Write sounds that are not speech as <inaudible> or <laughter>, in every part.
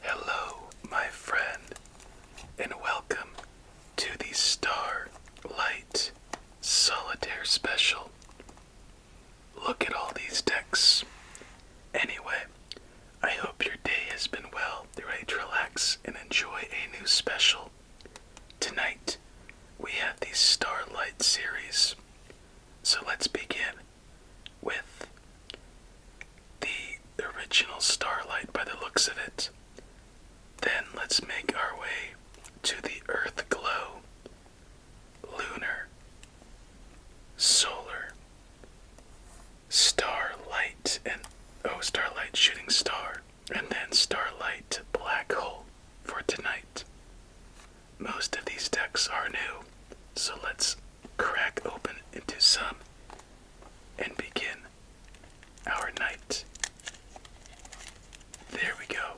Hello, my friend, and welcome to the Starlight Solitaire Special. Look at all these decks. Anyway, I hope your day has been well. You're relax and enjoy a new special. Tonight, we have the Starlight series. So let's begin with the original starlight by the looks of it. Then let's make our way to the Earth glow, lunar, solar, starlight, and oh, starlight shooting star, and then starlight black hole for tonight. Most of these decks are new, so let's crack open into some and begin our night. There we go.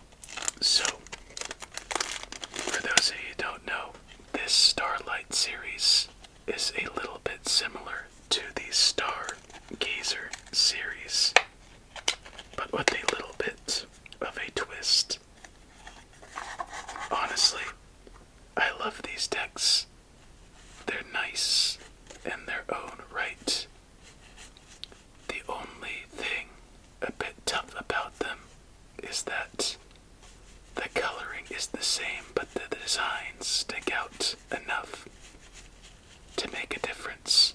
So, for those of you who don't know, this Starlight series is a little bit similar to the Stargazer series, but with a little bit of a twist. Honestly, I love these decks. They're nice in their own right. The only thing a bit tough about them is that the coloring is the same, but the designs stick out enough to make a difference.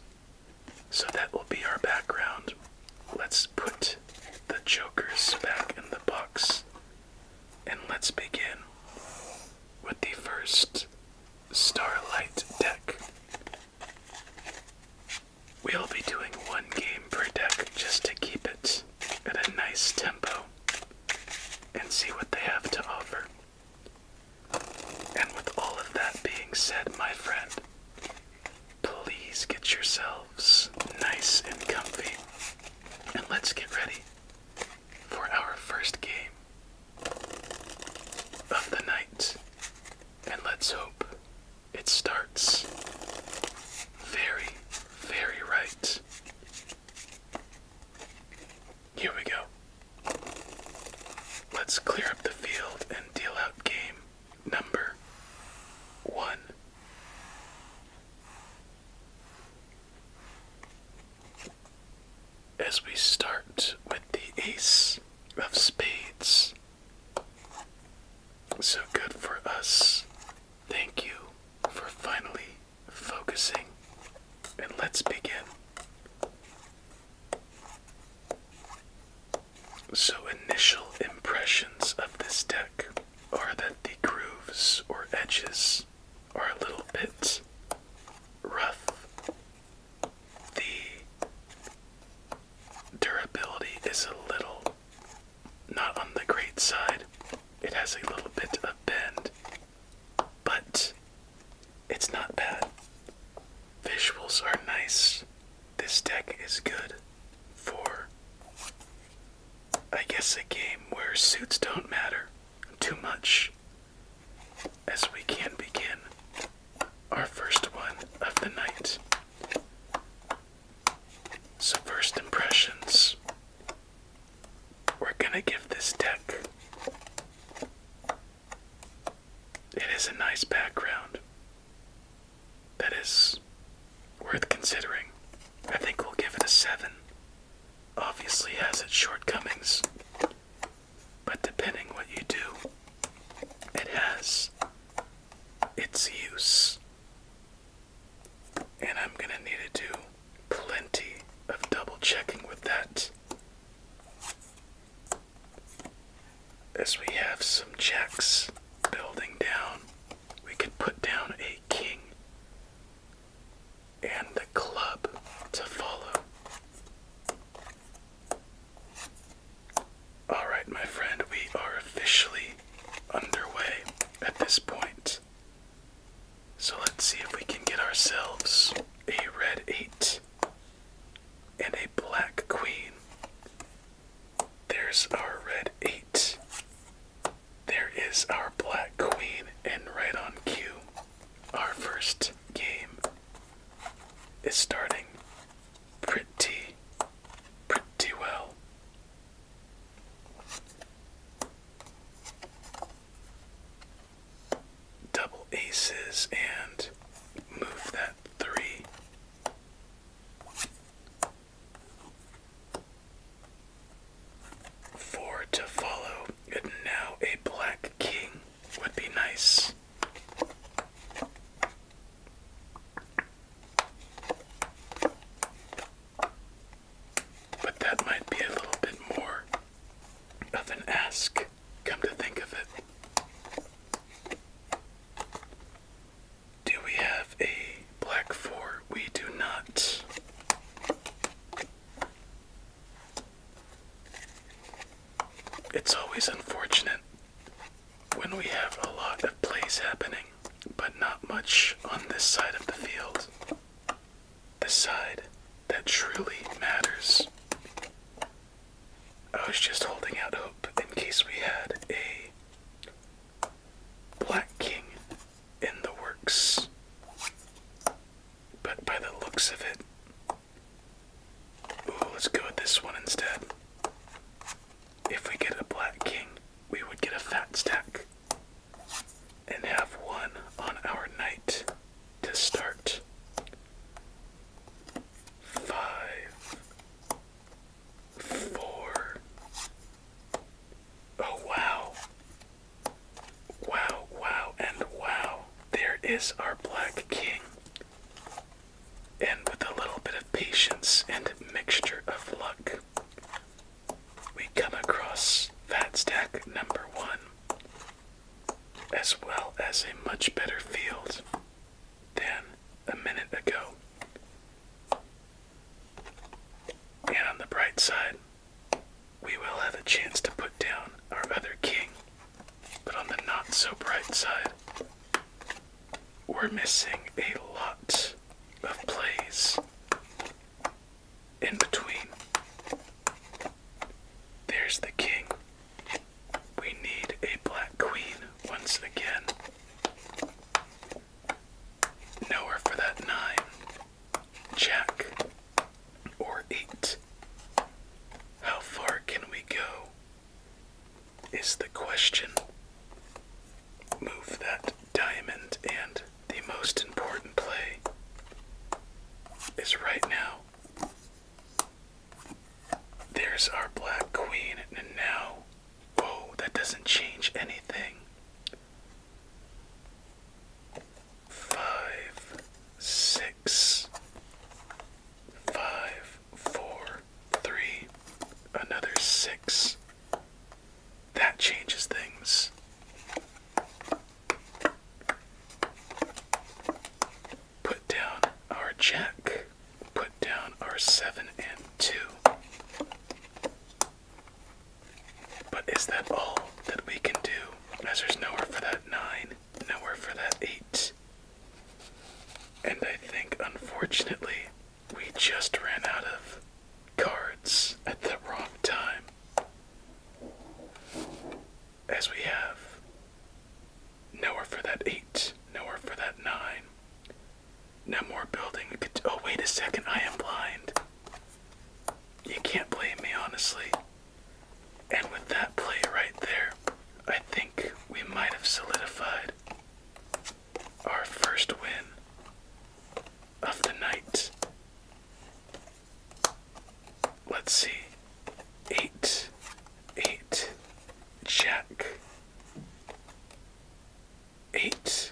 So that will be our background let's put the jokers back in the box and let's begin with the first Starlight deck. We'll be doing one game per deck just to keep it at a nice tempo and see what they have to offer. And with all of that being said, my friend, Please get yourselves nice and comfy, and let's get ready for our first game of the night. And let's hope it starts very, very right. Here we go. Let's clear up the field and deal out game number one. As we start with the Ace of Spades. So good for us. Thank you for finally focusing. And let's begin. So, initial impressions of this deck are that the grooves or edges are a little bit rough. The durability is a little not on the great side, it has a little bit of bend, but it's not bad. Visuals are nice. This deck is good for, I guess, a game where suits don't matter too much as we can begin our first one of the night. So, first impressions. We're gonna give this deck. It is a nice background that is worth considering. I think we'll give it a 7. Obviously has its shortcomings, but depending what you do, it has its use. And I'm going to need to do plenty of double checking with that. As we have some checks building down we can put down a king and the club to follow. Alright, my friend, we are officially underway at this point. So let's see if we can get ourselves a red 8 and a black queen there's our red 8. There is our black queen, and right on cue, our first game is starting pretty, pretty well. Double aces and move that three. Four to follow, and now a black king would be nice. But that might be a little bit more of an ask, come to think of it. Do we have a black four? We do not. It's always unfortunate when we have a lot of plays happening, but not much on this side of the field. The side that truly matters. I was just holding out hope in case we had a Black King in the works. But by the looks of it, let's go with this one instead. If we get a Black King, we would get a fat stack and have one on our knight to start. Five, Four. Oh, wow. Wow, wow, and wow. There is our black king. And with a little bit of patience and mixture of luck, we come across fat stack number one, as well as a much better field than a minute ago. And on the bright side, we will have a chance to put down our other king. But on the not so bright side, we're missing a lot of plays in between. There's the king. We need a black queen once again. Nowhere for that nine, jack, or eight. How far can we go? Is the question. Move that diamond, and the most important play is right now. There's our black queen, and now Whoa, that doesn't change anything. Five, six, five, four, three, another six. That changes things. Put down our check put down our 7 and 2. But is that all that we can do? As there's nowhere for that 9, nowhere for that 8. And I think, unfortunately, we just ran out of cards at the wrong time. As we have nowhere for that 8, nowhere for that 9, no more building. Oh, wait a second. I am blind. You can't blame me, honestly. And with that play right there, I think we might have solidified our first win of the night. Let's see. Eight, eight, Jack eight,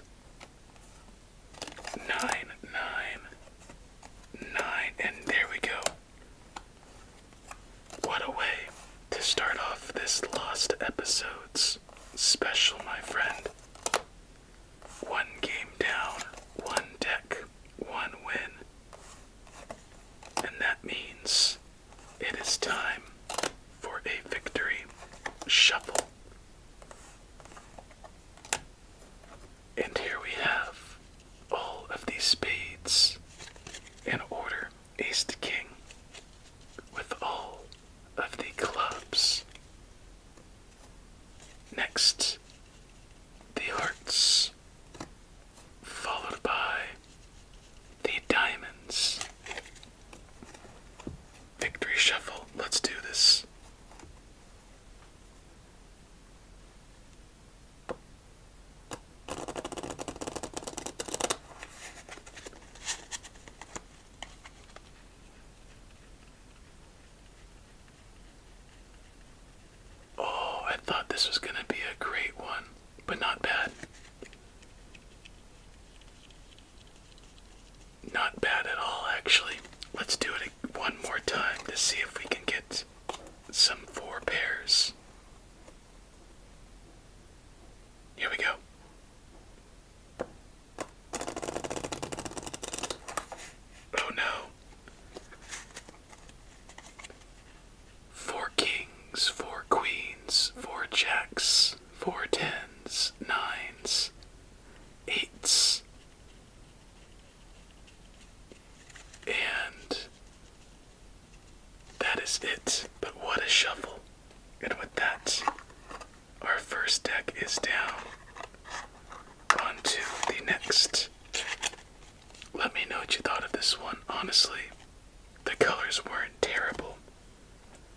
nine, nine, nine, and there we go. What a way to start off this Lost Episodes special, my friend. One game down, one deck, one win. And that means it is time for a victory shuffle. And here we have all of these spades in order ace to king with all of the clubs. Next, the hearts, followed by the diamonds, Victory Shuffle. Let's do this. Oh, I thought this was going to be a great one, but not bad. Not bad at all, actually. Let's do it one more time to see if we can get some four pairs. Here we go. Oh no. Four kings, four queens, four jacks four tens, nines, eights, and that is it. But what a shuffle! And with that, our first deck is down. On to the next. Let me know what you thought of this one. Honestly, the colors weren't terrible.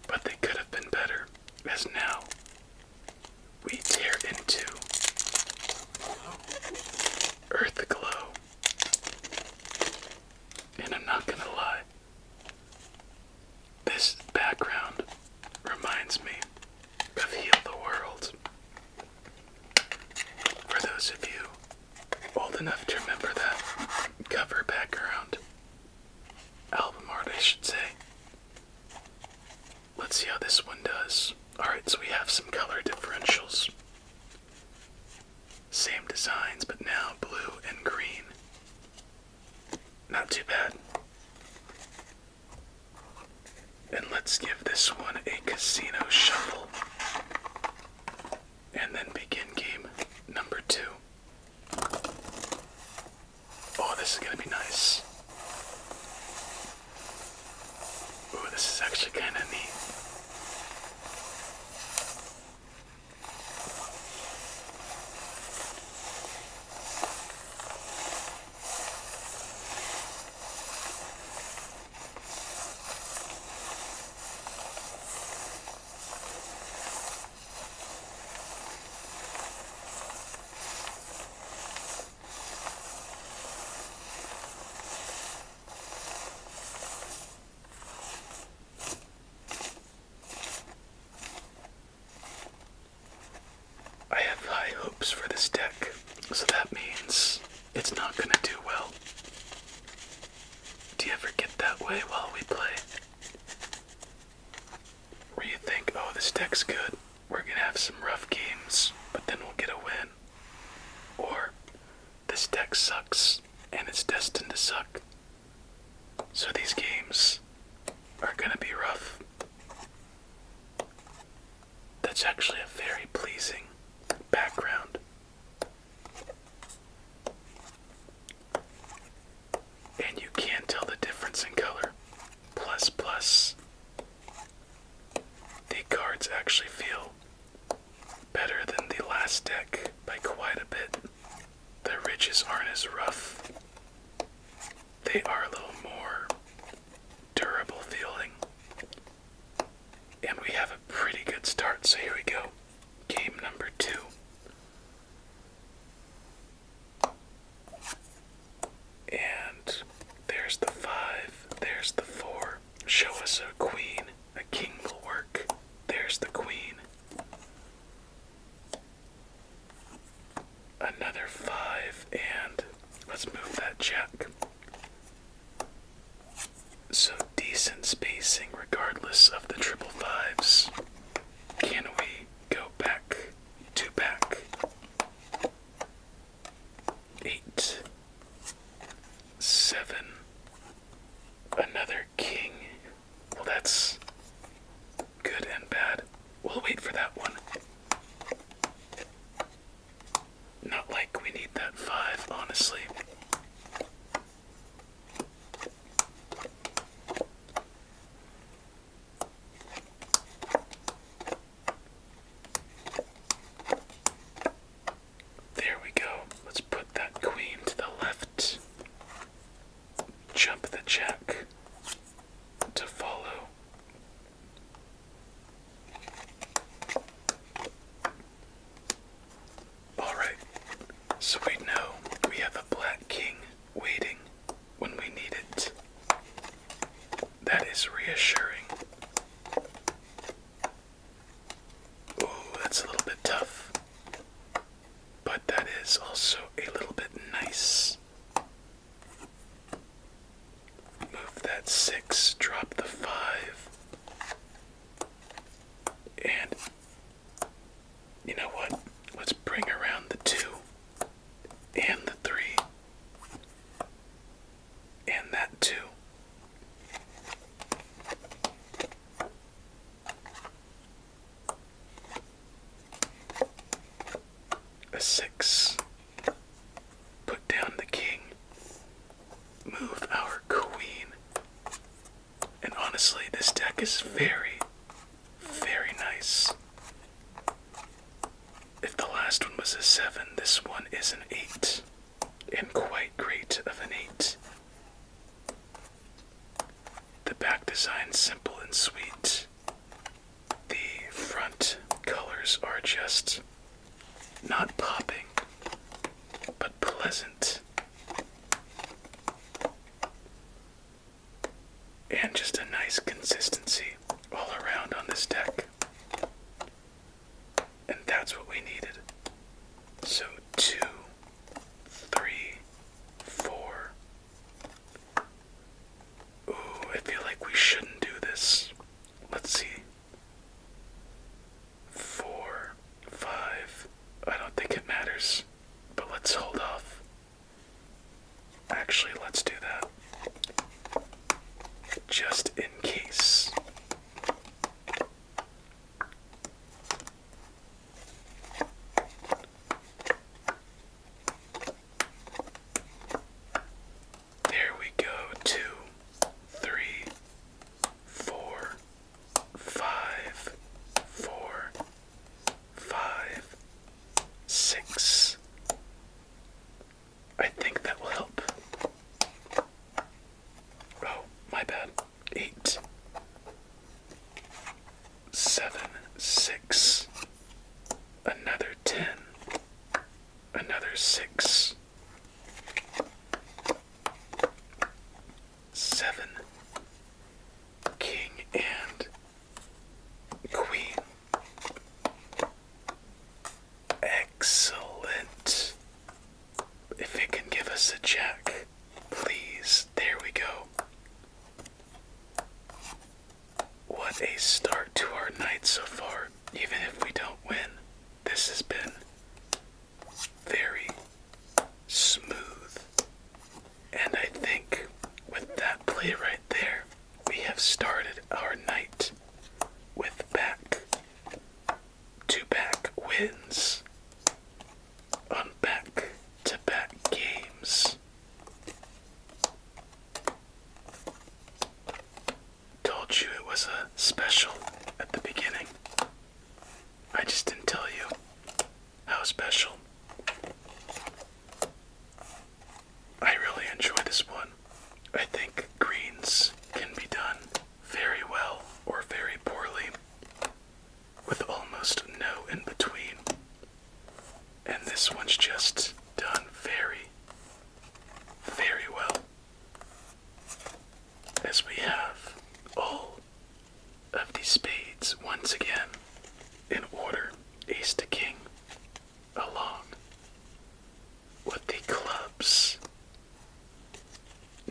But they could have been better, as now we tear into Earth Glow. And I'm not gonna lie, this background reminds me of Heal the World. For those of you old enough to remember that cover background, album art, I should say. Let's see how this one does. Alright, so we have some color differentials. Same designs, but now blue and green. Not too bad. And let's give this one a casino shuffle. And then begin game number two. Oh, this is going to be nice. Oh, this is actually kind of neat. I have high hopes for this deck, so that means it's not going to do well. Do you ever get that way while we play? Where you think, oh, this deck's good, we're gonna have some rough games, but then we'll get a win. Or, this deck sucks and it's destined to suck. So these games are gonna be rough. That's actually a very pleasing background. And you can't tell the difference in color. Plus, plus, the cards actually feel better than the last deck by quite a bit. The ridges aren't as rough, they are a little more durable feeling. And we have a pretty good start, so here we go. Game number two. And there's the five, there's the four. Show us a queen, a king will work. There's the queen. Another five, and let's move that jack. So decent spacing regardless of the triple fives. Can we go back to back? Eight, seven, another king. Well, that's good and bad. We'll wait for that one. Not like we need that five, honestly. There we go. Let's put that queen to the left. Jump the jack to follow. Alright, so we know we have a black king waiting when we need it. That is reassuring. Oh, that's a little bit tough. But that is also a little bit nice. Move that six, drop the five, and you know what? Let's bring around the two and the three and that two. A six. Put down the king. Move our queen and honestly, this deck is very, very nice. If the last one was a 7, this one is an 8. And quite great of an 8. The back design simple and sweet. The front colors are just not popping, but pleasant and just a nice consistency all around on this deck. And that's what we needed. So, two, three, four. Ooh, I feel like we shouldn't do this. Let's see. Four, five. I don't think it matters but let's hold off. Actually, let's do that. Just in case. There we go. Two, three, four, five, four, five, six. I think that will help. Oh, my bad. Eight, seven, six, another ten, another six seven, king and queen. Excellent. If it can give us a jack, please. There we go. What a start to our night so far. Even if we don't win, this has been very, smooth. And I think with that play right there, we have started our night with back to back wins on back to back games. Told you it was a special at the beginning. I just didn't tell you how special. I really enjoy this one. I think greens can be done very well or very poorly with almost no in between. And this one's just done very, very well. As we have all of the spades once again in order ace to king along with the clubs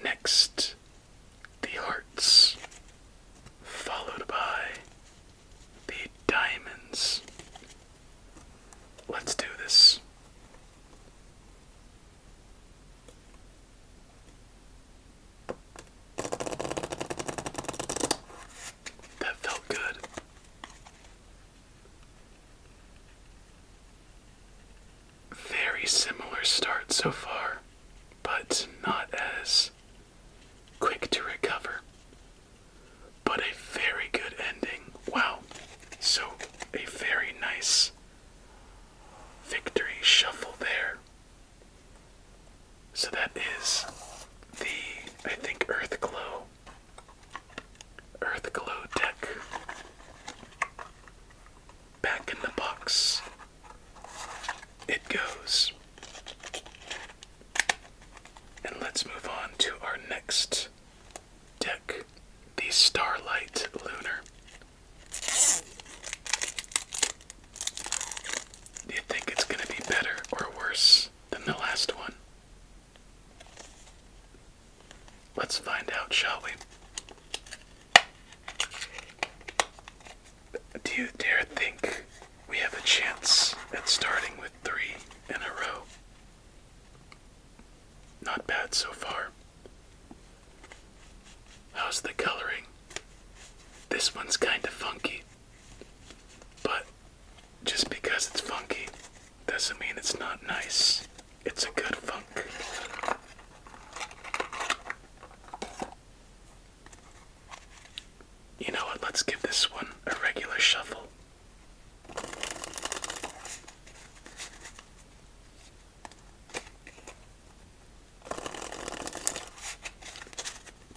next the hearts followed by the diamonds let's do this that felt good. Very similar start so far, but not as quick to recover. But a very good ending. Wow. So, a very nice victory shuffle there so that is the, I think, Earth Glow. deck. Back in the box. It goes. And let's move on to our next deck the Starlight Lunar do you think it's going to be better or worse than the last one? Let's find out, shall we? Do you dare think we have a chance at starting with three in a row? Not bad so far. How's the coloring? This one's kind of funky, but just because it's funky doesn't mean it's not nice. It's a good funk. You know what? Let's give this one a regular shuffle.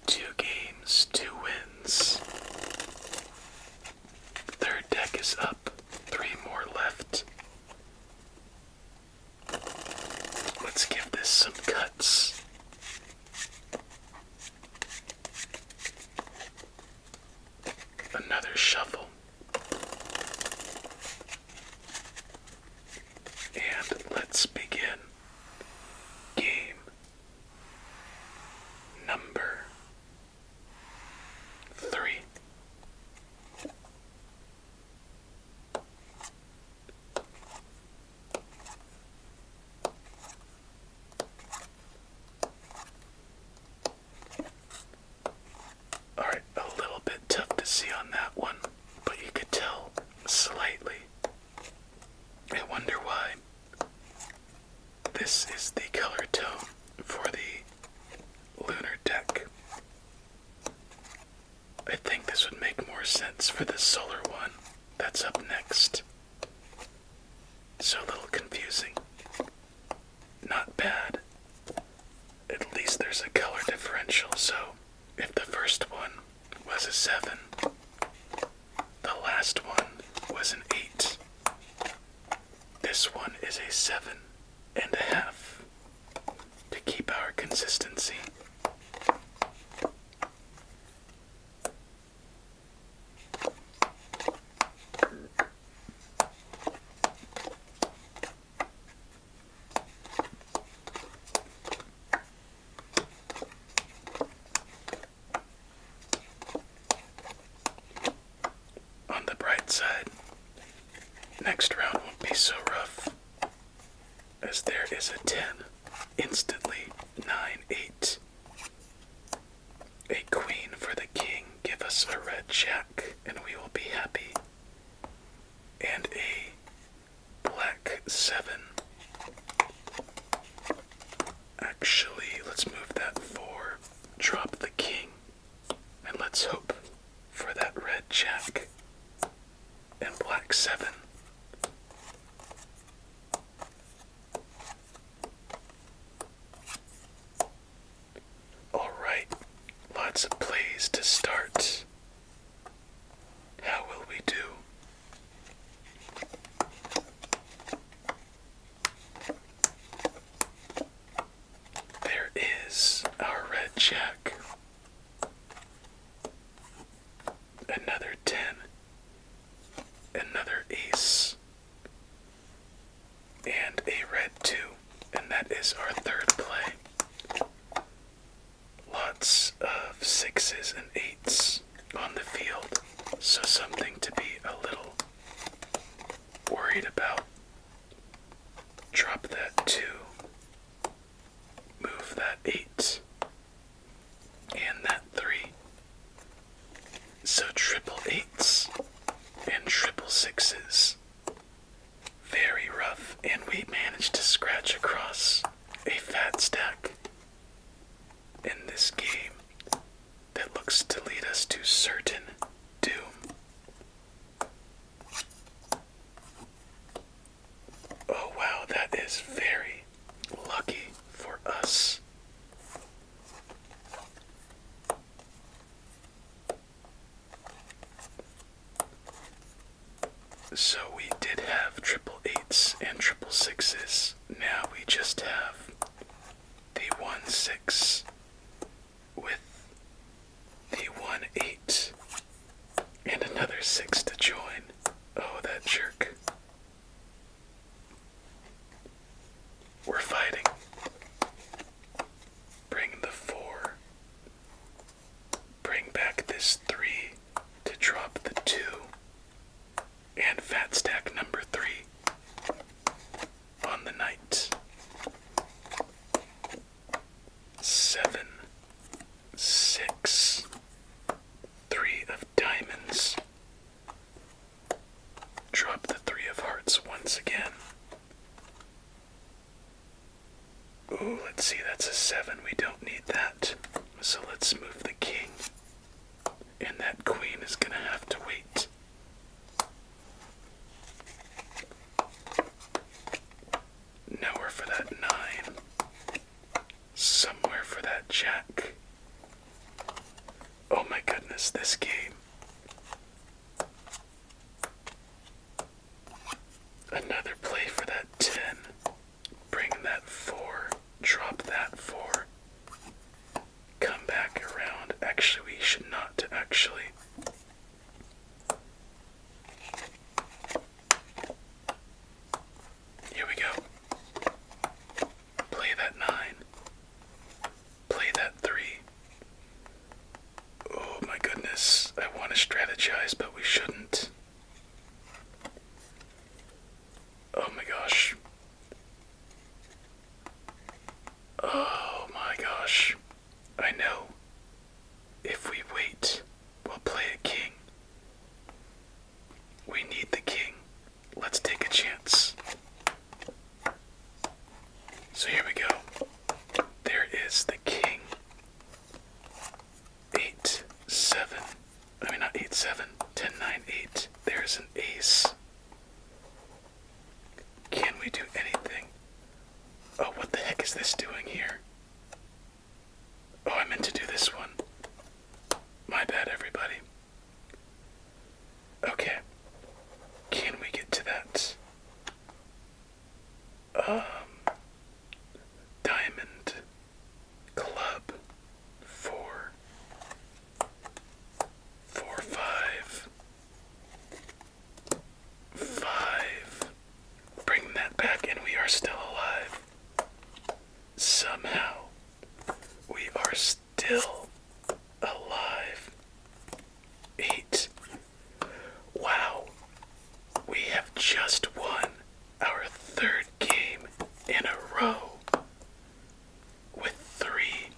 Two games, two wins. Third deck is up, three more left. Let's give this some cuts. Another shuffle. And let's begin. Game number three. All right, a little bit tough to see on that one, but you could tell slightly. I wonder why. This is the color tone for the lunar deck. I think this would make more sense for the solar one that's up next. So little confusing. Not bad. At least there's a color differential, so if the first one was a 7. The last one was an 8. This one is a seven and a half to keep our consistency. On the bright side, next round won't be so rough as there is a 10, instantly 9 8. A queen for the king, give us a red jack, and we will be happy. And a black seven. Actually, let's move that four, drop the king, and let's hope for that red jack and black seven. Alright, lots of plays to start. How will we do? There is our red jack. Another 10. Another ace. And a red 2. And that is our third play lots of sixes and eights on the field, so something to be a little worried about. Drop that 2, move that 8, and that 3. So triple eights and triple sixes. Very rough, and we managed to scratch across a fat stack in this game that looks to lead us to certain doom. Oh wow, that is very lucky for us. So we did have triple eights and triple sixes. Now we just have the one six with the one eight and another six to join. Oh, that jerk. We're fighting. Bring the four Bring back this 3 to drop the 2 and fat stack number 3 on the night 7 6 of diamonds. Drop the 3 of hearts once again. Oh, let's see, that's a 7. We don't need that. So let's move the king. And that queen is going to have to wait. Nowhere for that 9. Somewhere for that jack. Oh my goodness, this game. Another play for that 10. Bring that four, drop that four, come back around. Actually, we should not actually. Here we go. Play that nine. Play that three. Oh my goodness, I want to strategize, but we shouldn't. Oh my gosh. Oh my gosh. I know. If we wait, we'll play king. We need the king. Let's take a chance. So here we go. There is the king eight seven. I mean not eight seven. nine eight. There's an ace. Can we do anything? Oh, what the heck is this doing here? Oh, I meant to do this one. My bad, everybody. Okay. Can we get to that? um, Diamond Club four, four, five, five. Bring that back, and we are still alive. Somehow, we are still alive. Eight. Wow. We have just won our third game in a row with three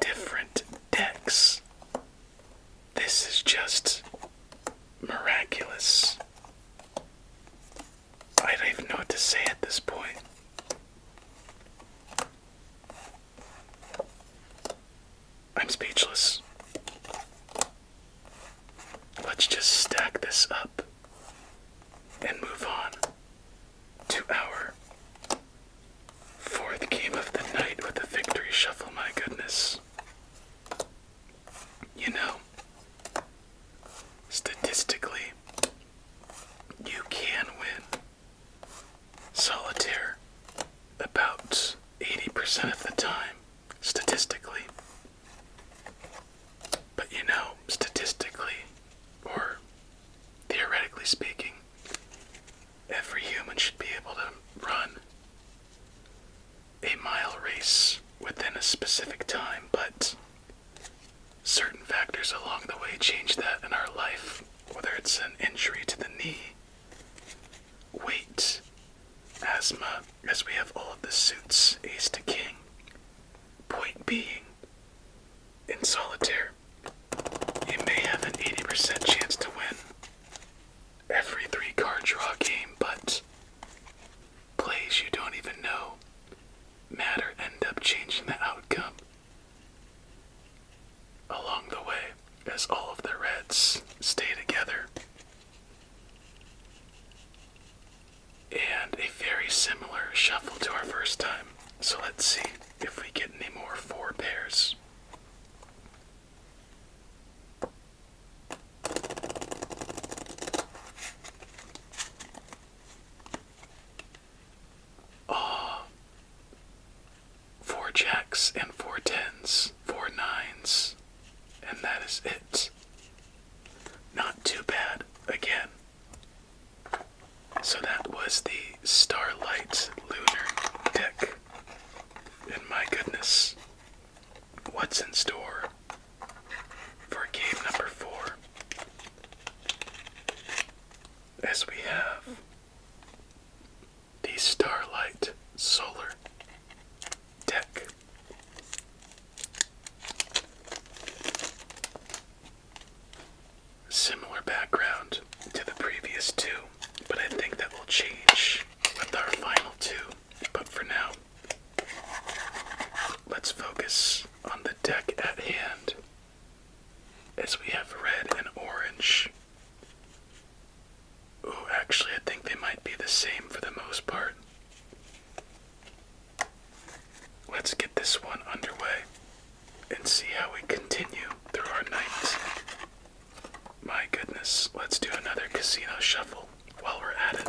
different decks. This is just miraculous. I don't even know what to say at this point. I'm speechless. Let's just stack this up and move on to our fourth game of the night with the victory shuffle. My goodness. You know, statistically, you can win solitaire about 80% of the time, statistically. But you know, statistically, or theoretically speaking, every human should be able to run a mile race within a specific time, but certain factors along the way change that in our life, whether it's an injury to the knee, weight, Asthma, as we have all of the suits, ace to king. Point being, in solitaire, you may have an 80% chance to win every three card draw game, but plays you don't even know matter end up changing the outcome along the way as all of the reds stay together and a very similar shuffle to our first time. So let's see if we get any more four pairs. Ah, oh, four jacks and four tens, four nines, and that is it. Not too bad again. So that was the Starlight Lunar deck. And my goodness, what's in store for game number four? As we have the Starlight Solar deck. Similar background to the previous two, but I think that will change with our final two. But for now, let's focus on the deck at hand as we have red and orange. Ooh, actually, I think they might be the same for the most part. Let's get this one underway and see how we continue through our night. My goodness, let's do another casino shuffle while we're at it.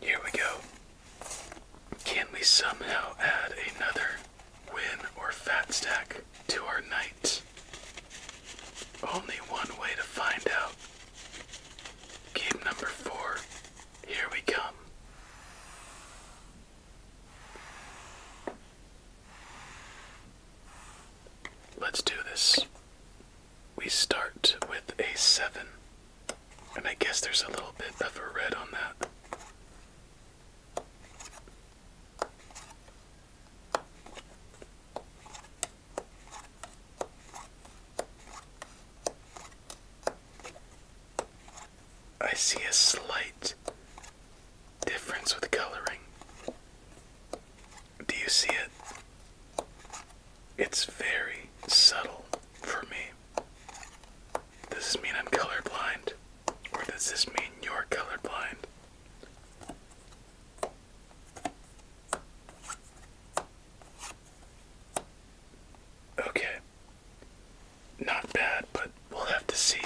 Here we go. Can we somehow add another win or fat stack to our night? Only one way to find out. Game number four. Here we come. Let's do this. We start with a 7. And I guess there's a little bit of a red on that. I see a slight difference with coloring. Do you see it? It's very subtle for me. Does this mean I'm colorblind? Or does this mean you're colorblind? Okay, not bad, but we'll have to see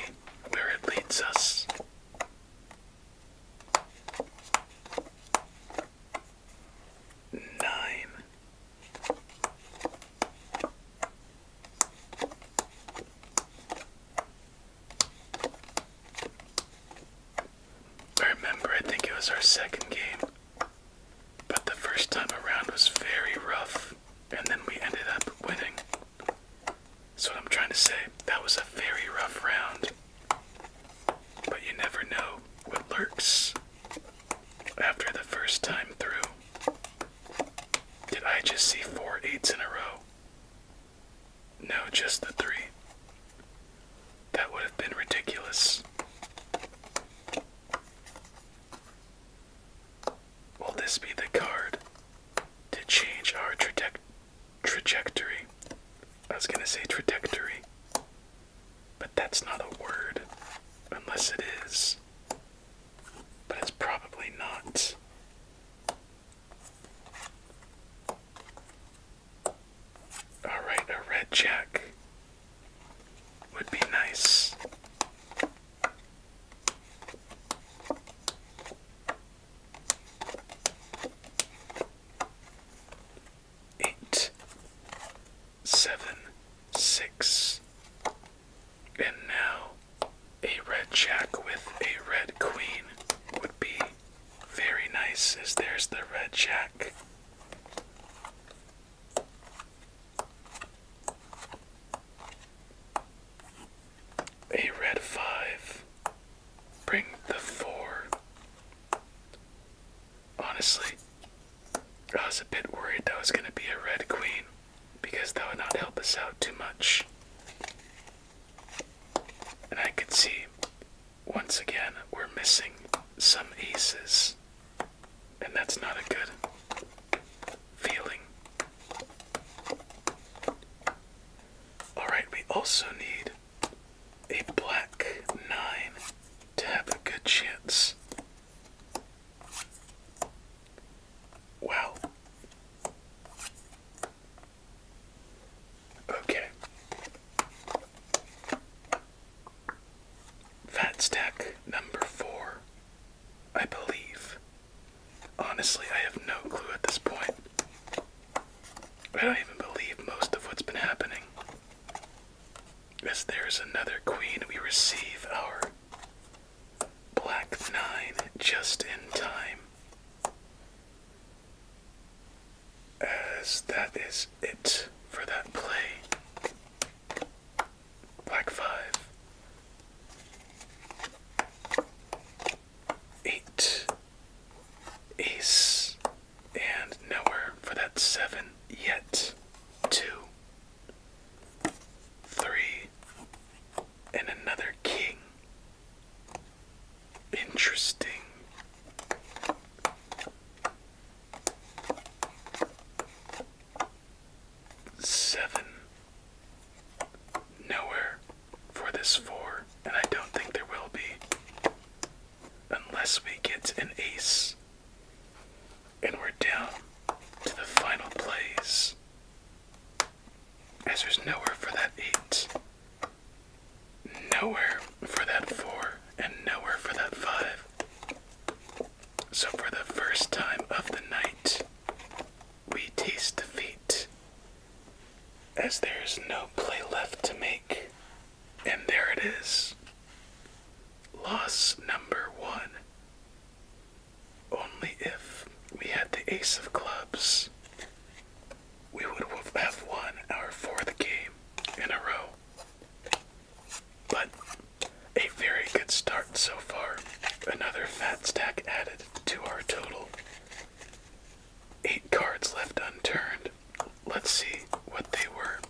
where it leads us. Nine. I remember, I think it was our second game, but the first time around was very rough and then we ended up winning. That's I'm trying to say. That was a very rough round. But you never know what lurks after the first time through. Did I just see four eights in a row? No, just the three. That would have been ridiculous. Will this be the card to change our trajectory? I was gonna say trajectory, but that's not a word unless it is. But it's probably not. Alright, a red jack would be nice. Eight, seven, six, and now a red jack with a red queen would be very nice, as there's the red jack. A red five. Bring the four. Honestly, I was a bit worried that was going to be a red queen because that would not help us out too much. And I could see, once again, we're missing some aces and that's not a good feeling. Alright, we also need a black 9 to have a good chance. Wow. Okay. Fat stack number four I believe. Honestly, I have no clue at this point. I don't even believe most of what's been happening. As there's another queen, we receive our black nine just in time. As that is it for that play. Black five. Eight. Ace. And nowhere for that seven yet. Two. Three. And another king. Interesting seven nowhere for this four, and I don't think there will be unless we get an ace. And we're down to the final place, As there's nowhere for that eight, nowhere for that four, and nowhere for that five. So, for the first time of the night, we taste defeat, as there is no play left to make. And there it is. Loss number one. Only if we had the ace of clubs, we would have won our fourth game in a row. But a very good start so far. Another fat stack added to our total. Eight cards left unturned. Let's see what they were.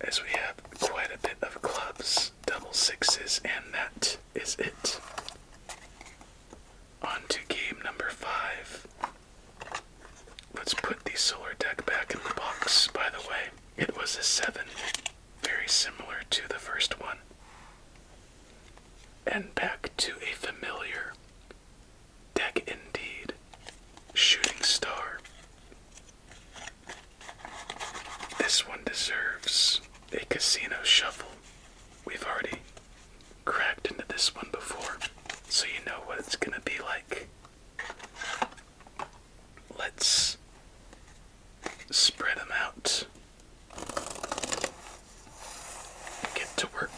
As we have quite a bit of clubs, double sixes, and that is it. On to game number five. Let's put the solar deck back in the box, by the way. It was a seven very similar to the first one. And back to a familiar deck indeed. Shooting Star. This one deserves a casino shuffle. We've already cracked into this one before, so you know what it's gonna be like. Let's spread them out get to work.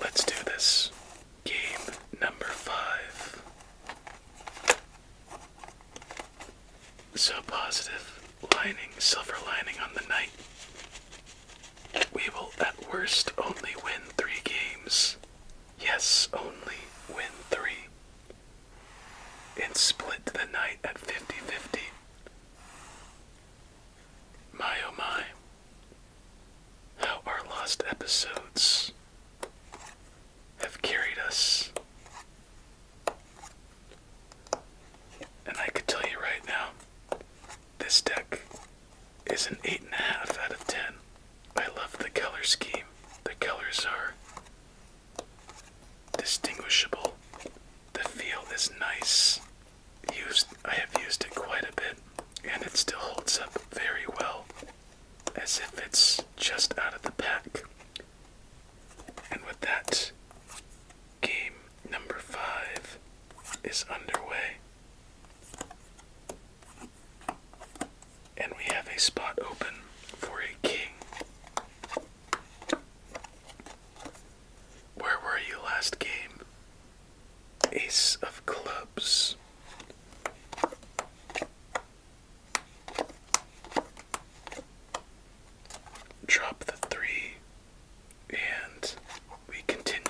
Let's do this. Game number five. So positive, lining, silver lining on the night. We will at worst only win three games. Yes, only win three. And split the night at 50 50. My oh my. How our lost episodes have carried us. And I could tell you right now, this deck is an 8.5 out of 10. I love the color scheme. The colors are distinguishable. The feel is nice. I have used it quite a bit, and it still holds up very well, as if it's just out of the pack. And with that, game number five is underway. And we have a spot open for a king. Where were you last game? Ace of clubs. Drop the three, and we continue.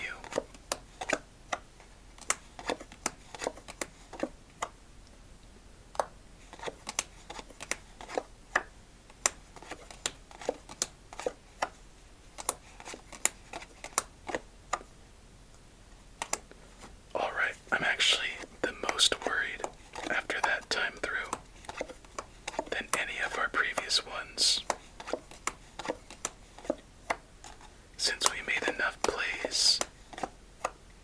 All right, I'm actually the most worried after that time through than any of our previous ones since we made enough plays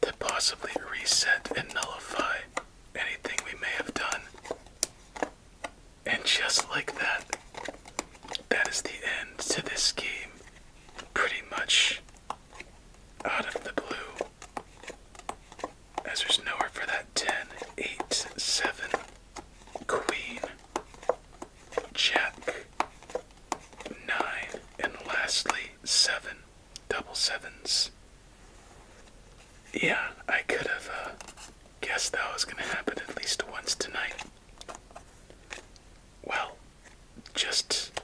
to possibly reset and nullify anything we may have done. And just like that, that is the end to this game. Pretty much out of the blue. As there's nowhere for that 10, 8, 7, Queen, check nine, and lastly seven. Double sevens. Yeah, I could have uh, guessed that was going to happen at least once tonight. Well, just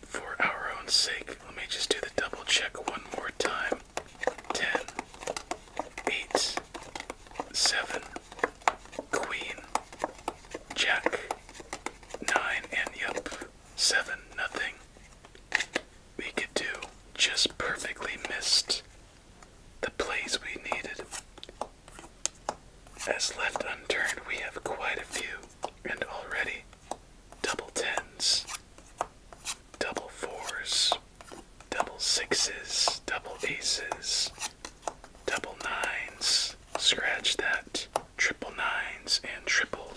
for our own sake, let me just do the double check one more time. 10, seven, queen, jack, nine, and yep, seven, nothing. We could do just perfectly missed the plays we needed. As left unturned, we have quite a few, and already double tens, double fours, double sixes, double aces, double nines, scratch that, triple nines, and triple.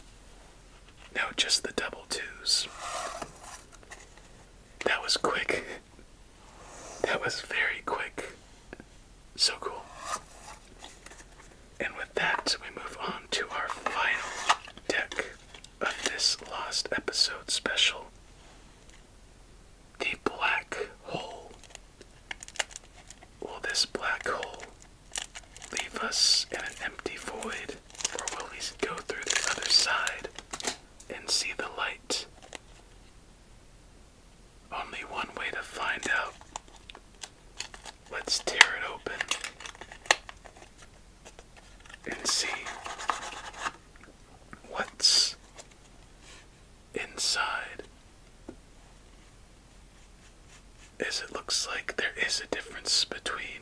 No, just the double twos. That was quick. <laughs> That was very quick. So cool. And with that, we move on to our final deck of this Lost Episode special the black hole. Will this black hole leave us in an empty void, or will we go through the other side and see the light? Only one way to find out. Let's tear it open and see what's inside is it looks like there is a difference between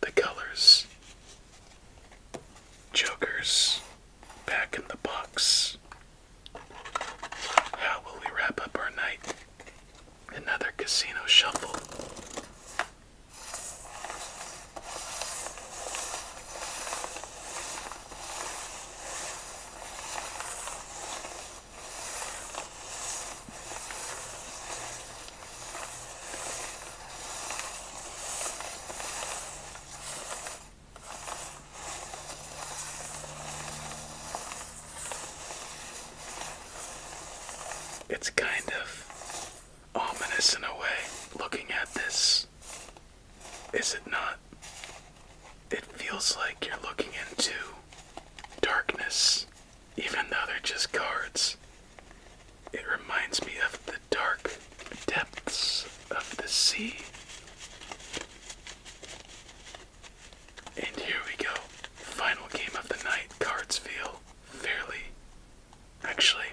the colors. Joker's back in the box. How will we wrap up our night? Another casino shuffle. It's kind of ominous in a way looking at this is it not? It feels like you're looking into darkness, even though they're just cards. It reminds me of the dark depths of the sea. And here we go. Final game of the night. Cards feel fairly. Actually,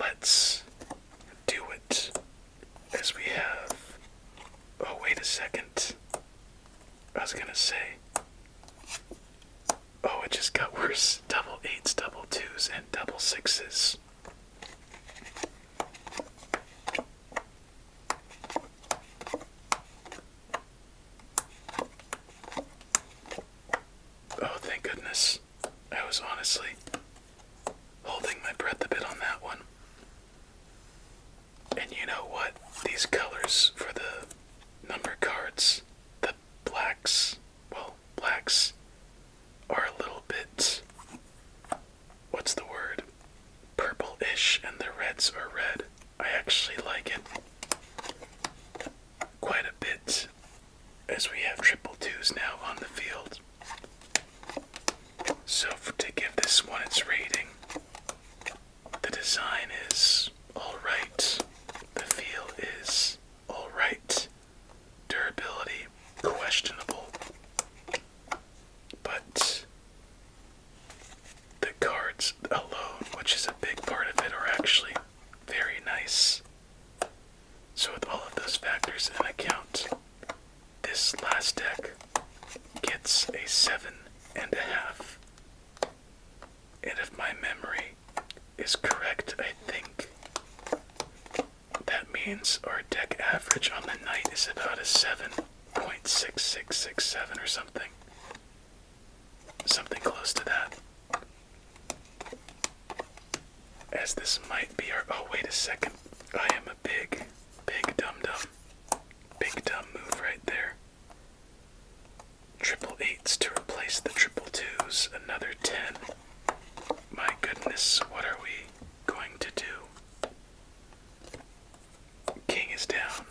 Let's do it as we have. Oh, wait a second. I was gonna say. Oh, it just got worse. Double eights, double twos, and double sixes. Oh, thank goodness. I was honestly holding my breath a bit on that one. And you know what? These colors for the number cards, the blacks, well, blacks are a little bit. What's the word? Purple ish, and the reds are red. I actually like it quite a bit as we have triple twos now on the field. So, to give this one its rating, the design is alright, the feel is alright, durability questionable, but the cards alone, which is a big part of it, are actually very nice. So, with all of those factors in account, this last deck gets a seven and a half. And if my memory is correct, I think that means our deck average on the night is about a 7.6667 or something. Something close to that as this might be our. Oh, wait a second. I am a big, big dum dum. Big dumb move right there. Triple eights to replace the triple twos, another ten. My goodness, what are we going to do? King is down.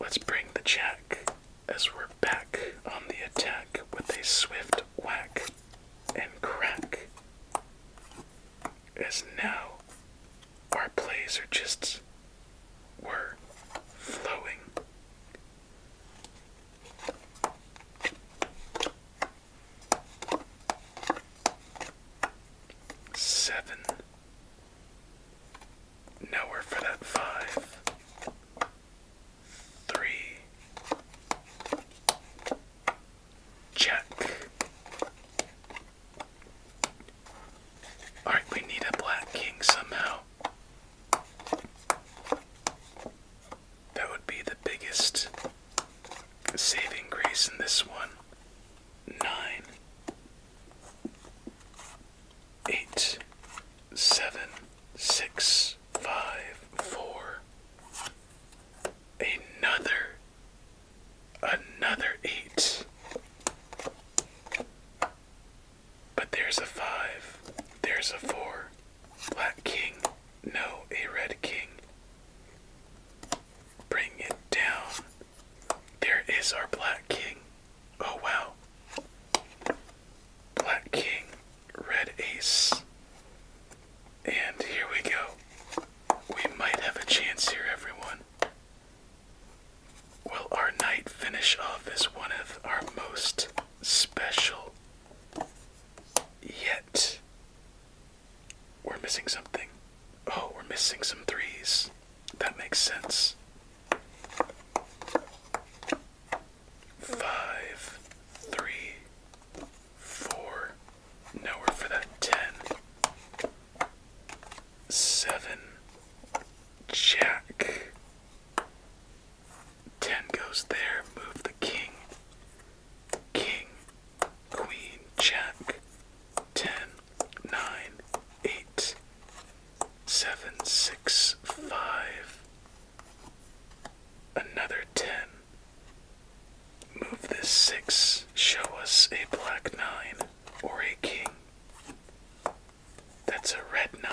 Let's bring the jack as we're back on the attack with a swift whack and crack. As now our plays are just were flowing. Seven. Nowhere for that five three. Check. Alright, we need a black king somehow. That would be the biggest saving grace in this one. Nine, eight, seven, six, five, four another another eight but there's a five there's a four black king no a red king bring it down there is our black king oh wow black king red ace. And here we go. We might have a chance here, everyone. Well, our night finish off is one of our most special yet? We're missing something. Oh, we're missing some threes. That makes sense. Five, three, four. Now we're for that ten. Seven. Jack. Ten goes there. Move the king. King. Queen. Jack. Ten. Nine. Eight. Seven. Six. Five. Another ten. Move this six, show us a black nine or a king. That's a red nine.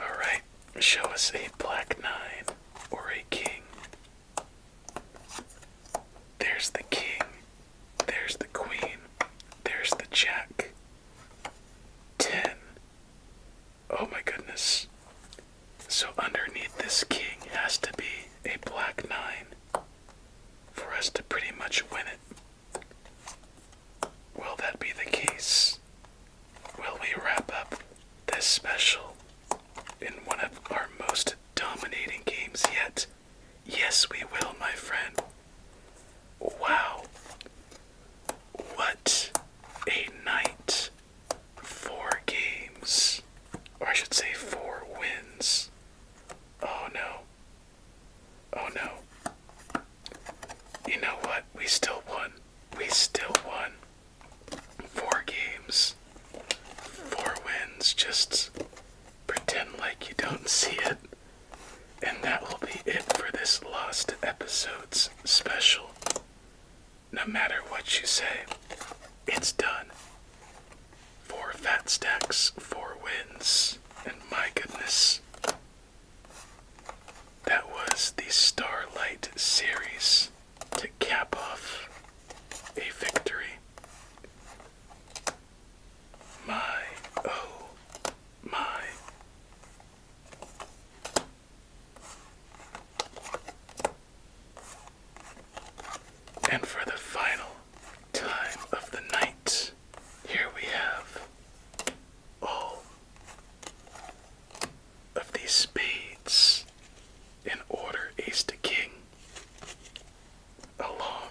Alright, show us a black nine or a king. There's the king, there's the queen, there's the jack. Ten, Oh my goodness. So underneath this king has to be a black nine for us to pretty much win it. Will that be the case? Will we wrap up this special in one of our most dominating games yet? Yes, we will, my friend. Wow. What a night four games, or I should say four wins. Oh no. Oh no. You know what? We still won. We still won. Four games, four wins. Just pretend like you don't see it. And that will be it for this Lost Episodes special. No matter what you say, it's done. Four fat stacks, four wins, and my goodness. That was the Starlight series to cap off a victory. My, oh, my. And for the final time of the night, here we have all of these spades in order ace to king, along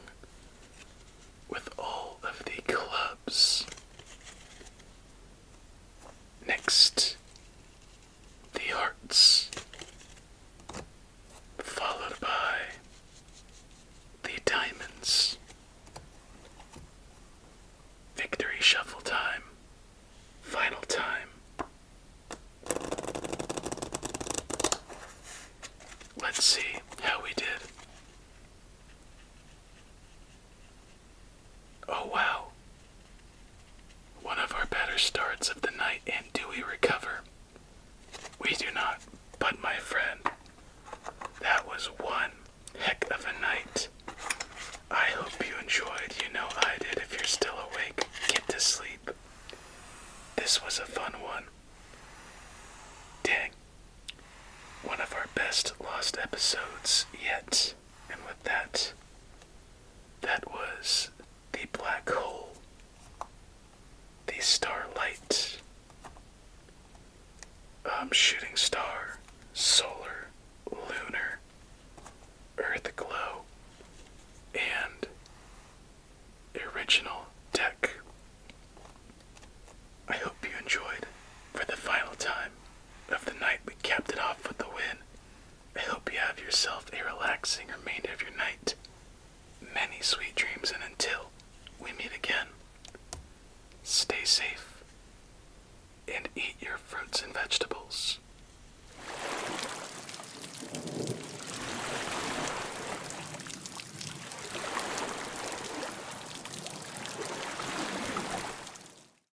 with all of the clubs. Next the arts, followed by the diamonds. Victory shuffle time, final time. Let's see how we did. Oh wow. One of our better starts of the night, and do we recover? We do not, but my friend, that was one heck of a night. I hope you enjoyed. You know I did. If you're still awake, get to sleep. This was a fun one. Dang. One of our best lost episodes yet. And with that, that was the black hole, the starlight, um, shooting star, solar, lunar, earth glow, and original deck. I hope you enjoyed for the final time of the night, we kept it off with the wind. I hope you have yourself a relaxing remainder of your night. Many sweet dreams, and until we meet again, stay safe and eat your fruits and vegetables.